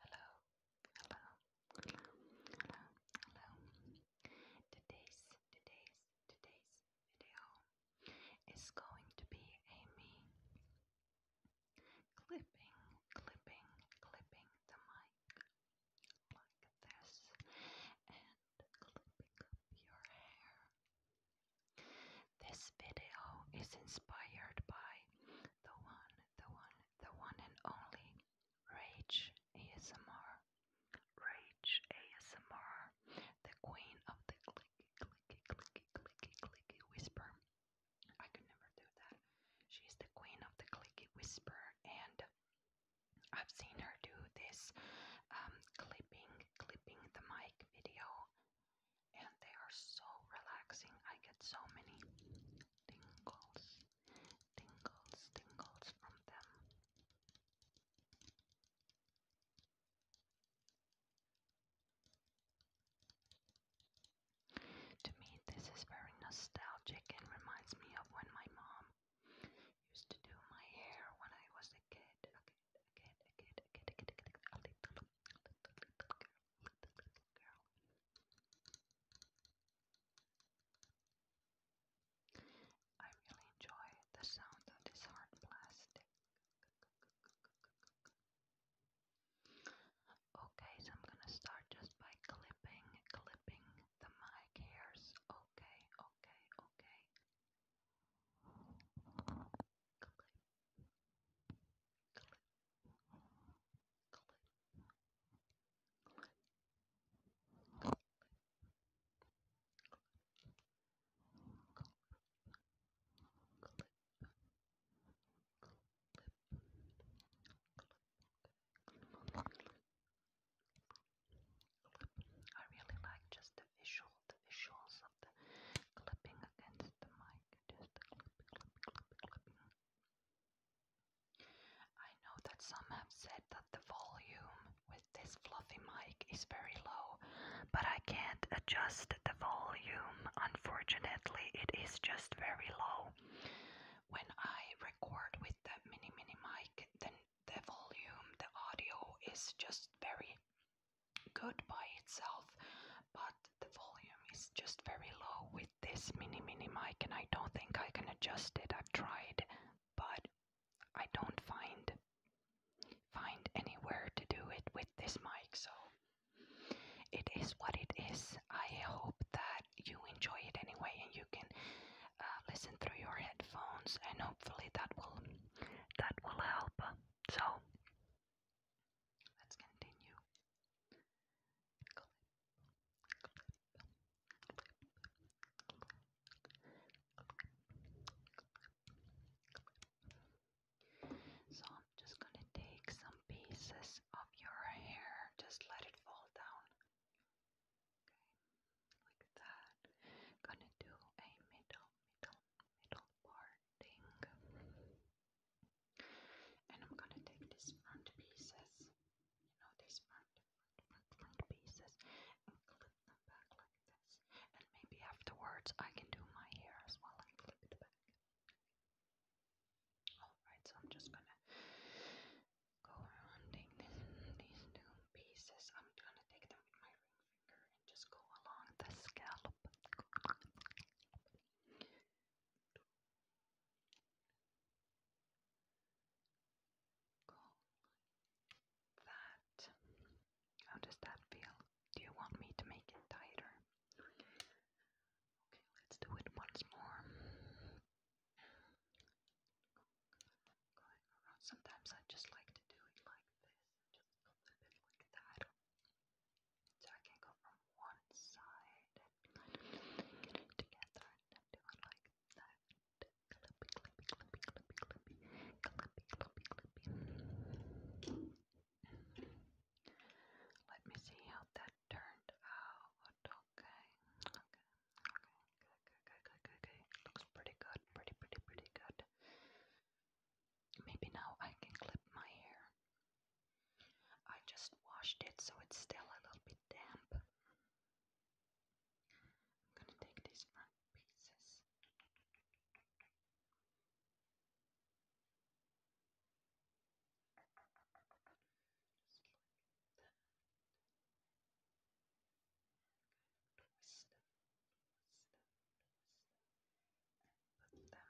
Hello, hello, hello, hello, Today's, today's, today's video is going to be a clipping, clipping, clipping the mic like this and clipping up your hair. This video is inspired by the one the one, the one and only Rage ASMR. Rage ASMR, the queen of the clicky, clicky, clicky, clicky, clicky whisper. I could never do that. She's the queen of the clicky whisper, and I've seen her do this um, clipping, clipping the mic video and they are so relaxing. I get so many tingles, tingles, tingles from them. To me, this is very nostalgic and reminds me of when my mom used to do my hair when I was a kid again, again, I really enjoy the sound of this hard plastic. Okay, so I'm gonna start just by clipping, clipping the mic hairs. Okay, okay, okay. I really like just the visual the visuals of the clipping against the mic. Just clipping, clipping, clipping. I know that some have said that the volume with this fluffy mic is very low, but I can't adjust the volume. Unfortunately, it is just very low. When I record with the mini mini mic, then the volume, the audio is just very good by itself, but the volume is just very low with this mini mini mic, and I don't think I can adjust it. I've tried, but I don't find find anywhere to do it with this mic, so it is what it is. I hope that you enjoy it anyway, and you can uh, listen through your headphones, and hopefully that will that will help. So let's continue. So I'm just going to take some pieces of your hair, just let it fall down. Okay, like that. Gonna do a middle, middle, middle parting. And I'm gonna take these front pieces, you know, these front, front, front, front pieces, and clip them back like this. And maybe afterwards I can do my hair as well and clip it back. Alright, so I'm just gonna go around take these two pieces. I'm gonna take them with my ring finger and just go along the scalp. Go that. How does that feel? Do you want me to make it tighter? Okay, let's do it once more. Sometimes I just like to do it like this, just a little bit like that. So I can go from one side and get it and do it like that. Clippy, clippy, clippy, clippy, clippy, clippy, clippy, clippy. Let me see how that turned out. okay. Okay, good, good, good, good, good. Looks pretty good, pretty, pretty, pretty good. Maybe now I can clip my hair. I just washed it so it's still a little bit damp. I'm gonna take these front pieces twist them, twist them, twist them, and put them together.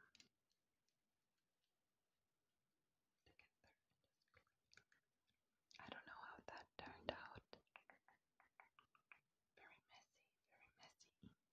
I don't know how that turned out. Very messy, very messy indeed.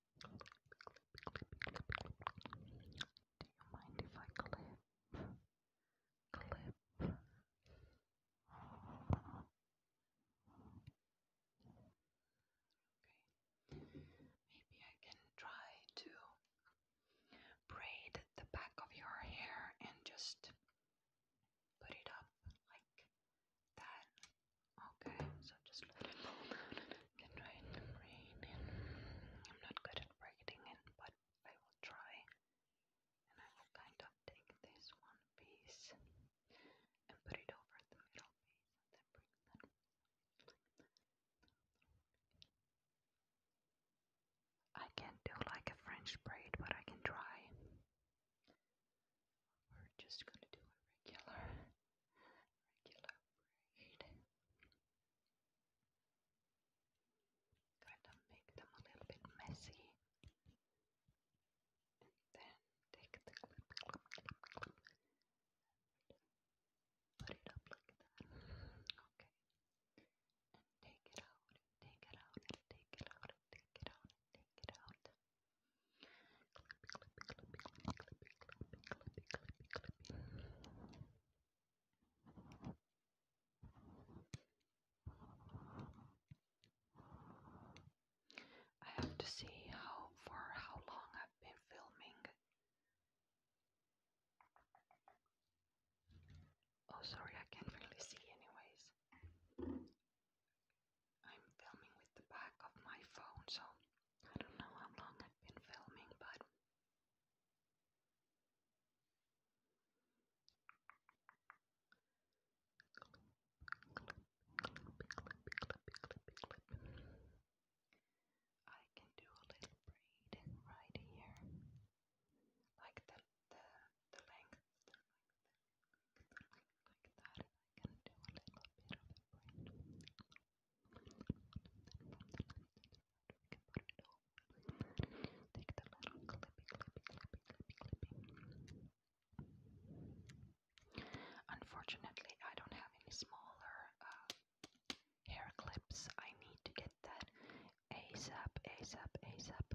Do you mind if I clip? Clip. Maybe I can try to braid the back of your hair and just put it up like Ten. Okay, so just let it get right the brain in. I'm not good at breaking but I will try. And I will kind of take this one piece and put it over the middle piece and bring that I can't do like a French braid, but I can try. We're just going to do a regular, regular braid. Kind of make them a little bit messy. And then take the clip, clip, clip, clip. Put it up like that. Okay. And take it out, and take it out, take it out, take it out, take it out. I have to see how for how long I've been filming. Oh, sorry, I can't really see, anyways. I'm filming with the back of my phone, so I don't know how long I've been filming, but I can do a little braid right here, like the, the the length, the length, like that, I can do a little bit of a braid. Take the little clippy, clippy, clippy, clippy, clippy. Unfortunately, I don't have any smaller uh, hair clips. I need to get that ASAP, ASAP, ASAP.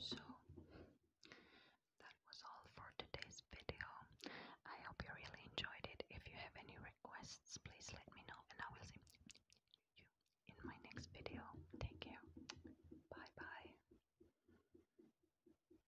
So, that was all for today's video. I hope you really enjoyed it. If you have any requests, please let me know and I will see you in my next video. Take care. Bye bye.